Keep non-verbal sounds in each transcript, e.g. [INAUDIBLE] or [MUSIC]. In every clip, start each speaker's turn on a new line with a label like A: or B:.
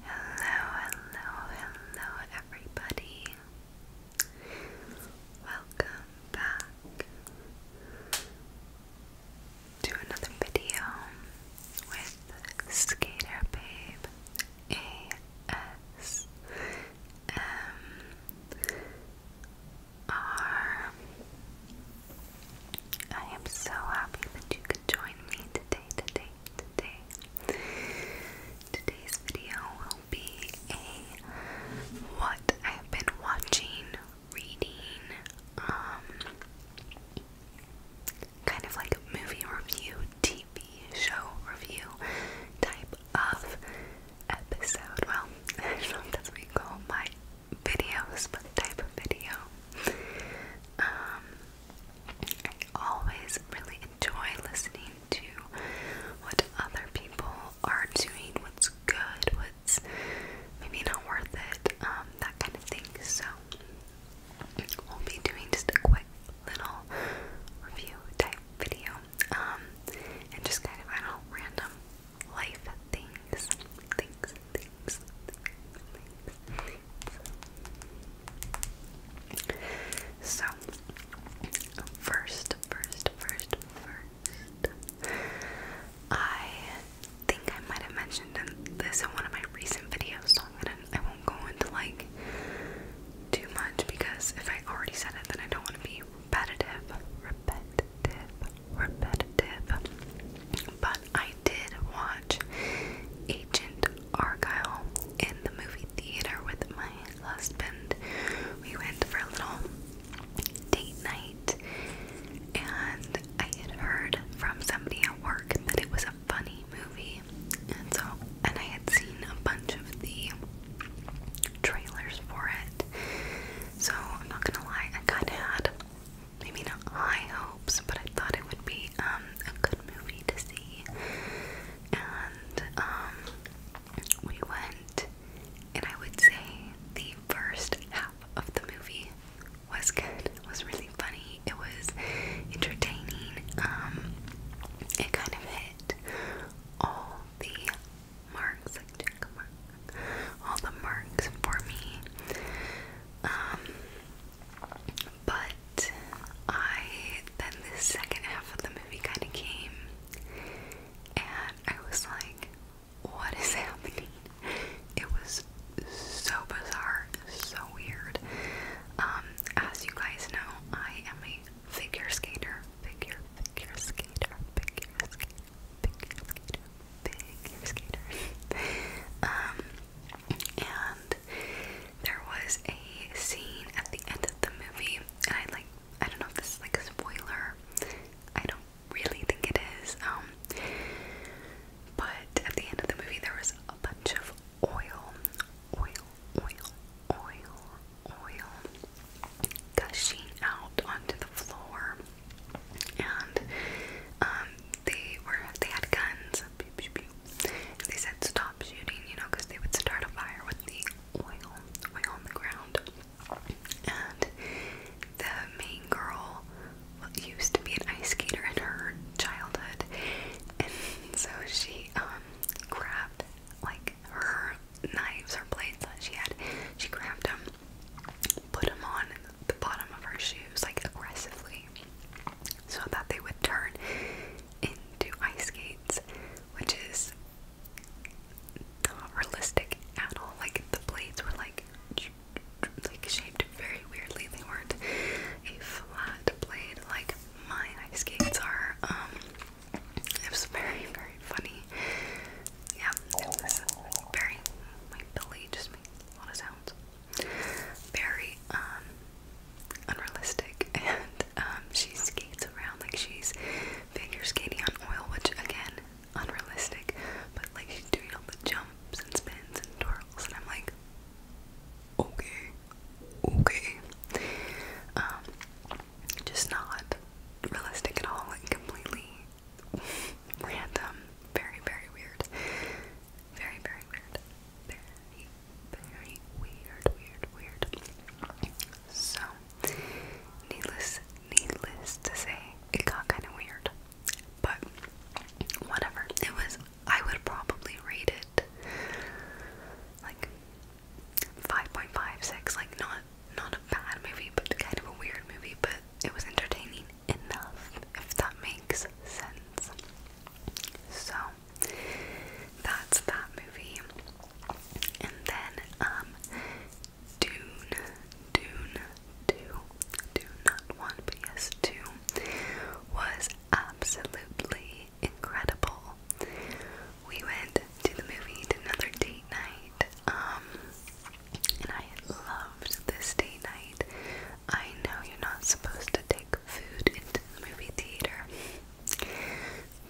A: Hello, hello, hello, everybody. Welcome back to another video with Skater Babe ASMR. I am so happy that you join me today, today, today. Today's video will be a what I've been watching, reading, um, kind of like a movie review, TV show review type of episode. Well, I [LAUGHS] do call my videos, but type of video. Um, I always really enjoy listening to what other people are doing, what's good, what's maybe not worth it, um, that kind of thing. So we'll be doing just a quick little review type video, um, and just kind of I don't know random life things, things, things, things. So, first, first, first, first, I think I might have mentioned this in one of my recent videos, so I'm gonna, I will not go into like too much because if I already said it, then I don't want to be repetitive, repetitive, repetitive but I did watch Agent Argyle in the movie theater with my husband. We went for a little date night, and I had heard from somebody at work that it was a funny movie, and so and I had seen a bunch of the trailers for it. So I'm not gonna lie, I kind of had maybe not high hopes, but I thought it would be um, a good movie to see. And um, we went, and I would say the first half of the movie was good. It was really funny. It was entertaining. Um, it kind of hit all the marks, like check mark, all the marks for me. Um, but I then the second half of the movie kind of came, and I was like, "What is [LAUGHS] happening?" It was so bizarre, so weird. Um, as you guys know, I am a figure skater, figure, figure skater, figure skater, figure skater, figure skater. [LAUGHS] Um, and there was a scene at the end of the movie, and I like I don't know if this is like a spoiler. I don't really think it is. Um, but at the end of the movie, there was a bunch of oil, oil, oil, oil, oil gushing out onto the floor, and um, they were they had guns, they said stop shooting, you know, because they would start a fire with the oil, on the ground. And the main girl used to be an ice skater in her childhood, and so she um, grabbed like her knives or blades that she had, she grabbed them, put them on the bottom of her shoes like aggressively so that they would turn into ice skates, which is not realistic at all. Like the blades were like like shaped very weirdly. They weren't a flat blade like my ice skates are. Um it was very, very funny. Yeah, it was very my belly just made a lot of sounds very um, unrealistic [LAUGHS] and um, she skates around like she's figure skating on oil which again unrealistic but like she's doing all the jumps and spins and twirls and I'm like okay okay um, just not realistic at all and completely [LAUGHS] random, very, very weird. Very, very weird. Very, very weird, weird, weird. So, needless, needless to say, it got kind of weird. But, whatever. It was, I would probably rate it like 5.56, like not not a bad movie, but kind of a weird movie, but it was entertaining enough, if that makes sense. So that's that movie. And then um Dune, Dune, Two, Dune, not one, but yes, two was absolutely incredible. We went to the movie, did another date night. Um and I loved this day night. I know you're not supposed to take food into the movie theater,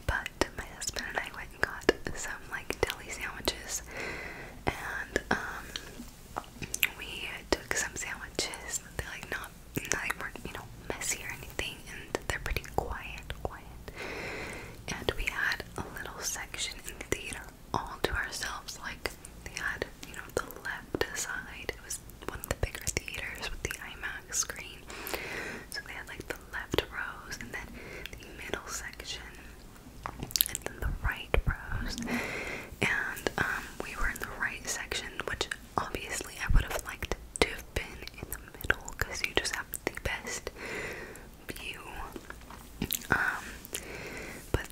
A: but my husband and I went and got some like deli sandwiches, and um, we took some sandwiches. They're like not, they were you know messy or anything, and they're pretty quiet, quiet. And we had a little section in the theater all to ourselves. Like they had, you know, the left side. It was one of the bigger theaters with the IMAX screen. So they had like the left rows and then the middle section and then the right rows. And um we were in the right section, which obviously I would have liked to have been in the middle because you just have the best view. Um but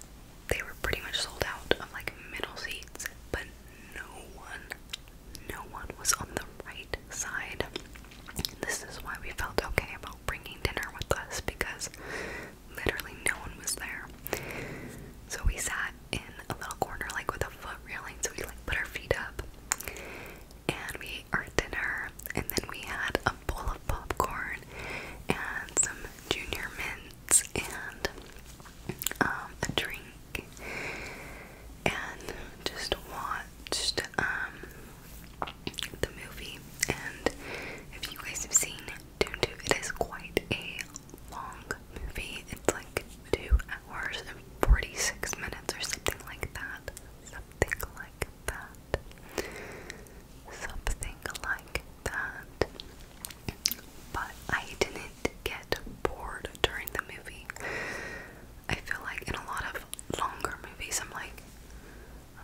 A: they were pretty much sold out of like middle seats, but no one, no one was on the right side. This is why we felt okay about bringing dinner with us because literally no one was there. So we sat in a little corner, like with a foot railing, so we like put our feet up and we ate our dinner, and then we had a bowl of popcorn and some junior mints and um, a drink and just watched um, the movie. And if you guys have seen Doo Doo, it is quite a long movie. It's like 2 hours and 46 minutes or something like that. Something like that. Something like that. But I didn't get bored during the movie. I feel like in a lot of longer movies, I'm like,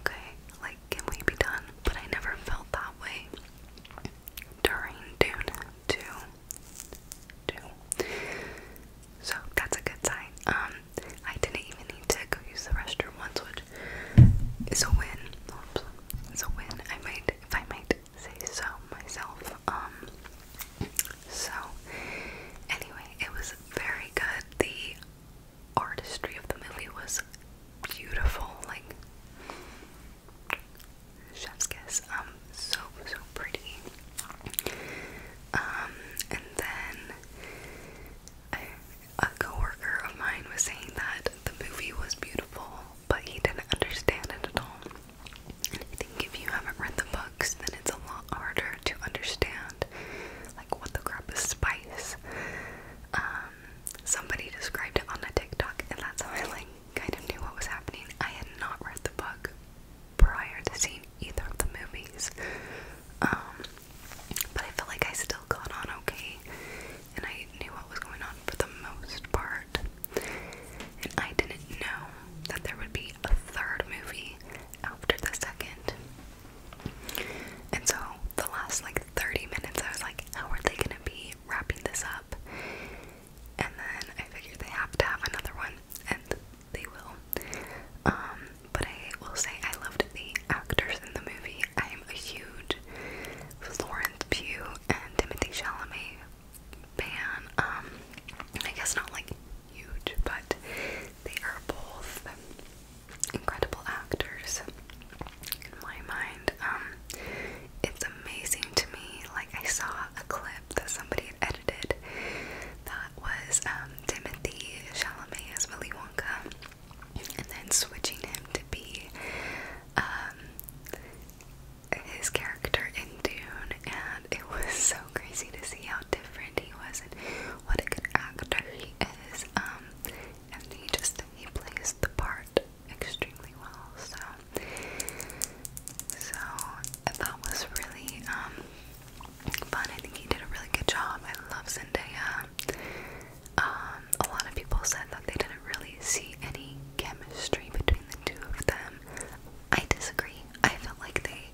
A: okay, like, can we be done? But I never felt that way during Dune 2. Two. So that's a good sign. Um, I didn't even need to go use the restroom once, which is a win. Oops, it's a win. I made. if I might say so myself. Um. So, anyway, it was very good. The artistry of the movie was beautiful. Like chef's Um. So so pretty. Um. And then a coworker of mine was saying that the movie was beautiful, but he didn't understand it at all. And I think if you haven't read the books, then it's a lot harder to understand, like what the crap is spice. Um, somebody described it on a TikTok, and that's how I like kind of knew what was happening. I had not read the book prior to seeing either of the movies. Um, but I felt like I still got on okay, and I knew what was going on for the most part. And I didn't know that there would be a third movie after the second. And so the last like 30 minutes, I was like, how are they gonna be wrapping this up? And then I figured they have to have another one, and they will. Um, but I will say I loved the actors in the movie. I am a huge Florence Pugh and Timothy Chalamet fan. Um, I guess not like huge, but they are both incredible actors in my mind. Um, it's amazing to me. Like I saw a clip that somebody had edited that was um, Timothy Chalamet as Willy Wonka and then switching him to be um, his character in Dune, and it was [LAUGHS] so crazy to see how different he was and what a good actor he is. Um, and he just he plays the part extremely well. So, so that was really um, fun. I think he did a really good job. I love Zendaya. Um, a lot of people said that they didn't really see any chemistry between the two of them. I disagree. I felt like they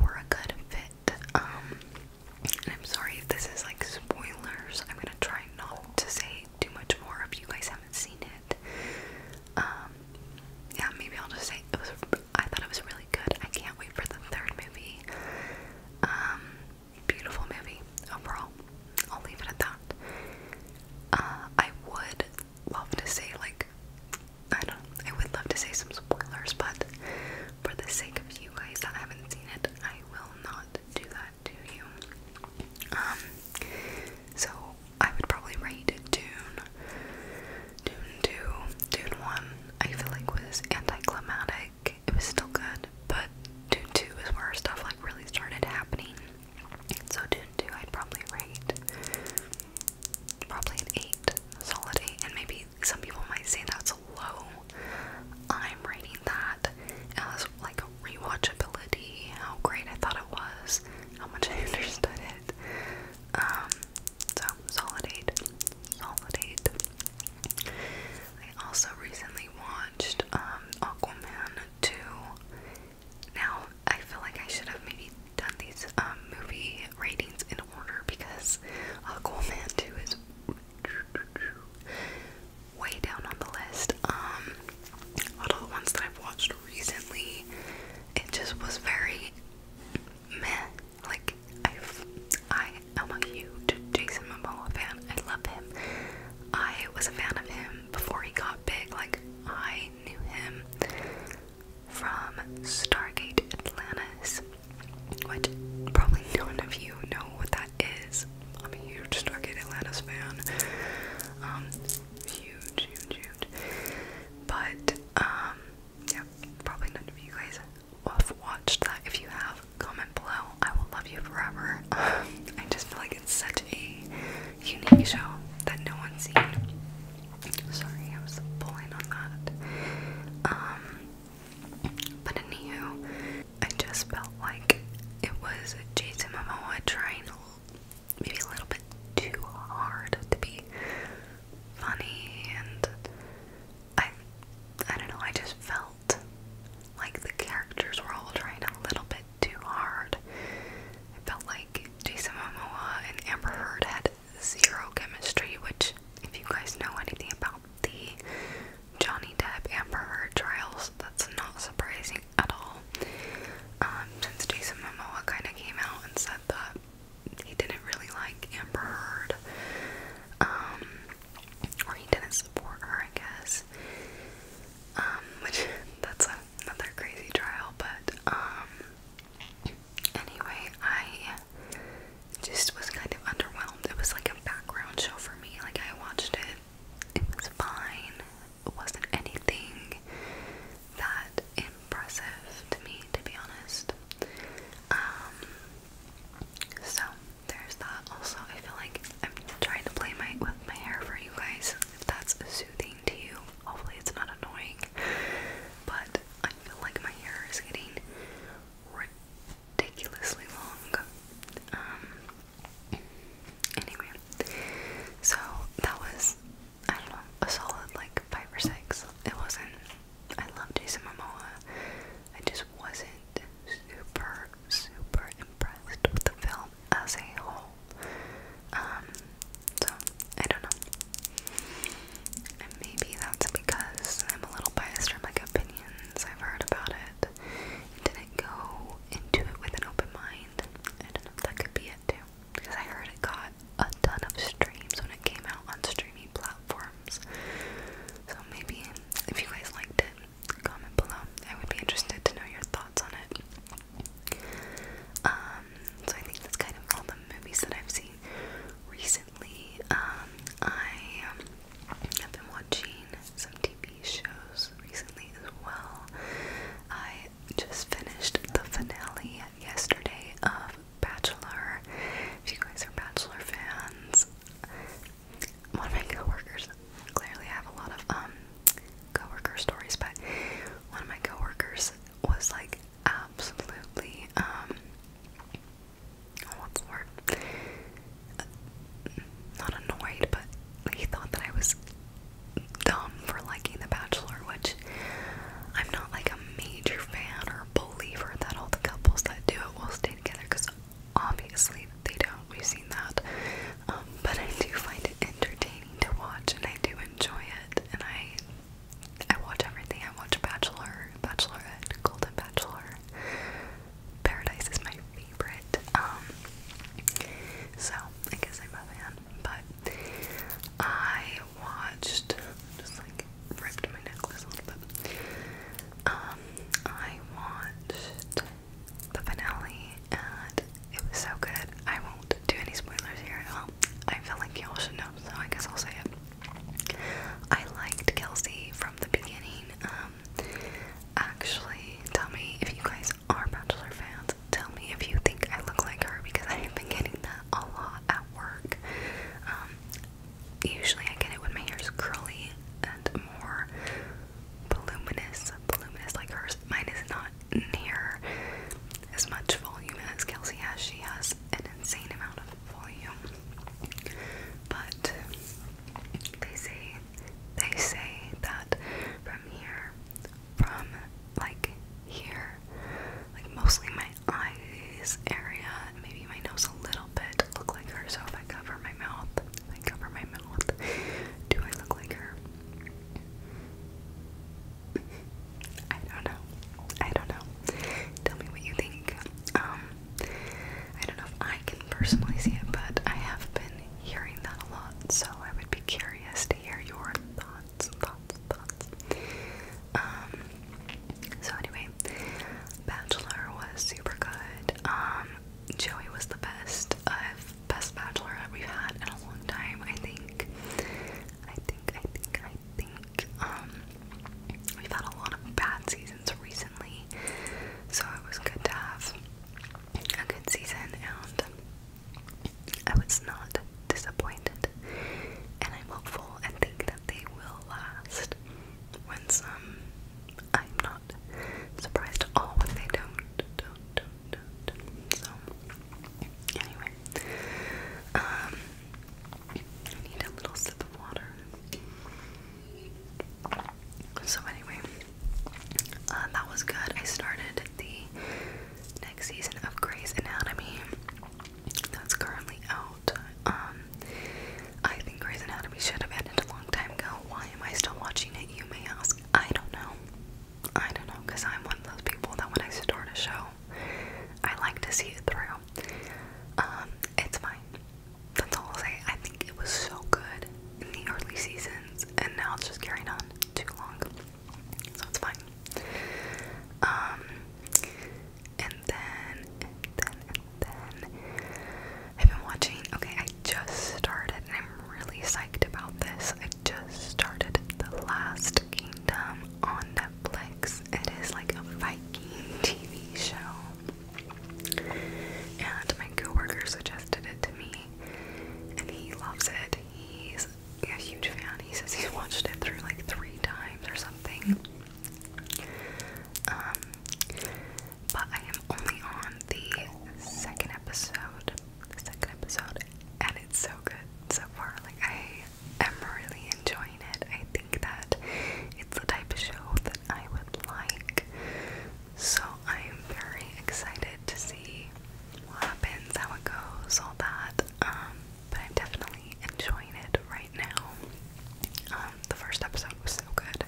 A: were a good fit. Um, and I'm sorry if this is like spoilers. I'm gonna try not to say too much more if you guys haven't seen it. Um, yeah, maybe I'll just say it was. I thought it was a really good. I can't wait for the third movie. Um, beautiful movie overall. I'll leave it at that. Uh, I would love to say like I don't. I would love to say some spoilers, but for the sake of you guys that haven't seen it, I will not do that to you. Um, so I would probably rate Dune. Dune 2, Dune 1, I feel like was anticlimactic it was still good, but two 2 is where stuff like really started happening. So 2 2 I'd probably rate probably an 8, solid 8, and maybe some people might say that's low. I'm rating that as like rewatchability, how great I thought it was, how much I [LAUGHS] understood it. Um so solid 8. Solid 8. I also recently watched um, Aquaman 2. Now, I feel like I should have maybe done these um, movie ratings in order because Aquaman 2 is way down on the list. Um, out of the ones that I've watched recently, it just was very meh. Like i I am a huge Jason Momoa fan. I love him. I was a fan of him before he got big. Like I knew him from Stargate Atlantis, which probably none of you know what that is. I'm a huge Stargate Atlantis fan. Um, huge, huge, huge. But um, yeah, probably none of you guys have watched that. If you have, comment below. I will love you forever. [LAUGHS] I just feel like it's such a unique show that no one's seen. Sorry, I was pulling on that. Um, but anywho, I just felt like it was Jason Momoa trying maybe a little bit too hard to be funny and I I don't know, I just felt like the characters were all trying a little bit too hard. I felt like Jason Momoa and Amber Heard had zero chemistry, which if you guys know anything about the Johnny Depp Amber Heard trials, that's not surprising at all. Um, since Jason Momoa kinda came out and said that he didn't really like Amber Heard, um, or he didn't support her, I guess. Um, [LAUGHS] which that's another crazy trial, but um, anyway, I just was kind of underwhelmed. It was like a background show for me. Like I watched it, it was fine. It wasn't anything that, impressive to me, to be honest. Um, so there's that. Also, I feel like I'm trying to play my with my hair for you guys. If that's soothing to you, hopefully it's not annoying. But I feel like my hair is getting ridiculously long. Um. Anyway, so that was I don't know a solid like five or six. It wasn't I love Jason Momoa. I just wasn't super, super impressed with the film as a whole. Um, so I don't know. maybe that's because I'm a little biased from like opinions I've heard about it. And didn't go into it with an open mind. I don't know. That could be it too. Because I heard it got a ton of streams when it came out on streaming platforms. So maybe if you guys liked it, comment below. I would be interested to know your thoughts on it. Um, so I think that's kind of all the movies that I've seen recently. Um, I have been watching some TV shows recently as well. I just finished the finale yesterday of um, Bachelor. If you guys are Bachelor fans, one of my coworkers, clearly I have a lot of um coworker stories, but one of my coworkers was like absolutely um, Not annoyed, but he thought that I was dumb for liking The Bachelor, which I'm not like a major fan or believer that all the couples that do it will stay together because obviously they don't. We've seen that. Um, but I do find it entertaining to watch and I do enjoy it. And I I watch everything. I watch Bachelor, Bachelorette, Golden Bachelor. Paradise is my favorite. Um, so I guess I'm a fan. But I watched, just like ripped my necklace a little bit. Um, I watched the finale and it was so good. I won't do any spoilers here I feel like y'all should know, so I guess I'll say it. I liked Kelsey from the beginning. Um, actually, tell me if you guys are Bachelor fans. Tell me if you think I look like her because I've been getting that a lot work. Um, usually I get it when my hair is curly and more voluminous, voluminous like hers. Mine is not near as much volume as Kelsey has. She has an insane amount of volume. But they say they say that from here, from like here, like mostly my eyes area, maybe my nose a little bit, look like her. So if I cover my mouth, I cover my mouth, do I look like her? I don't know. I don't know. Tell me what you think. Um, I don't know if I can personally see it, but I have been hearing that a lot, so I would be curious to hear your thoughts thoughts, thoughts, um, so anyway, Bachelor was super good. Um, Joey was the best of uh, best Bachelor that we've had in a long time, I think. I think, I think, I think. Um, we've had a lot of bad seasons recently, so it was good to have a good season and I was not disappointed, and I'm hopeful and think that they will last. When some, I'm not surprised at all when they don't, do So, anyway, um, I need a little sip of water. So anyway, uh, that was good. I started the next season of Grey's Anatomy that's currently out. Um, I think Grey's Anatomy should have ended a long time ago. Why am I still watching it? You may ask. I don't know. I don't know because I'm one of those people that when I start a show, I like to see it through. Um, it's fine. That's all I'll say. I think it was so good in the early seasons, and now it's just carrying on too long so it's fine. Um, and then, then, then, I've been watching. Okay, I just started, I'm really psyched about this. I just started The Last Kingdom on Netflix. It is like a Viking TV show, and my coworker suggested it to me, and he loves it. He's he's a huge fan. He says he's watched it through like three times or something. Um, but I am only on the second episode. The second episode, and it's so good so far. Like I am really enjoying it. I think that it's the type of show that I would like. So I'm very excited to see what happens, how it goes, all that. Um, but I'm definitely enjoying it right now. Um, the first episode was so good.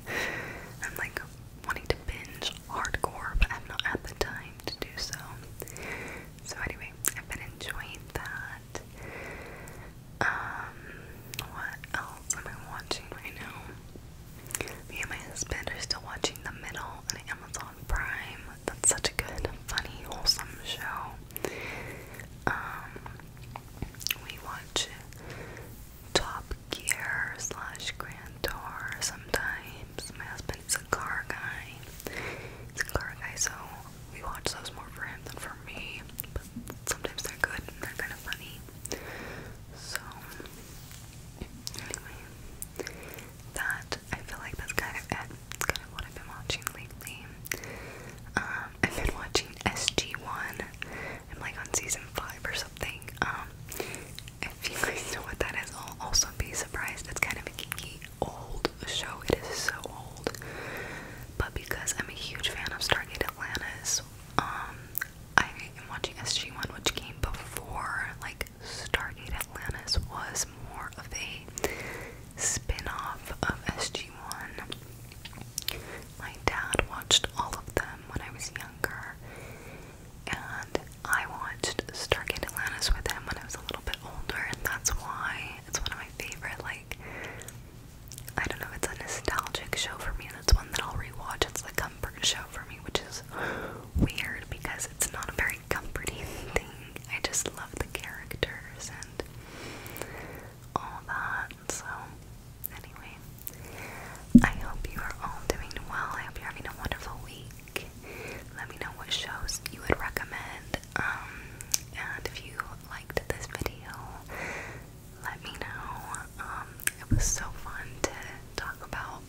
A: I'm like wanting to binge hardcore, but I'm not at the time to do so. So anyway, I've been enjoying that. Um, what else am I watching right now? Me and my husband are still watching The Middle on Amazon Prime. That's such a good, funny, wholesome show. Um, we watch Top Gear slash Grand Tour sometimes. My husband's a car guy. He's a car guy, so we watch those more for him than for me. But sometimes they're good and they're kind of funny. So, that I feel like that's kind of kind of what I've been watching lately. Um, I've been watching SG1. I'm like on season 5 or something. Um, if you guys know what that is, I'll also be surprised. It's kind of a geeky old show. It is so old. But because I'm a huge fan of Star Gate Atlantis, um, I am watching SG1, which came before like Stargate Atlantis was more of a spin-off of SG-1. My dad watched all of them when I was younger, and I watched Stargate Atlantis with him when I was a little bit older, and that's why it's one of my favorite, like, I don't know, it's a nostalgic show for me, and it's one that I'll rewatch. It's a comfort show for me, which is weird because it's not a very comforting [LAUGHS] thing. I just love the characters and all that. So, anyway, I hope you are all doing well. I hope you're having a wonderful week. Let me know what shows you would recommend. Um, and if you liked this video, let me know. Um, it was so fun to talk about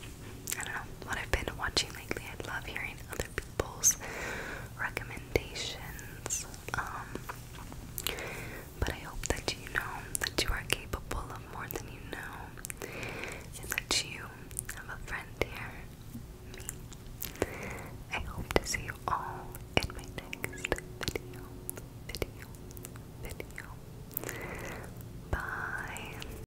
A: I don't know what I've been watching lately. I love hearing other people's recommendations. Um, but I hope that you know that you are capable of more than you know, and that you have a friend here, me. I hope to see you all in my next video, video, video. Bye.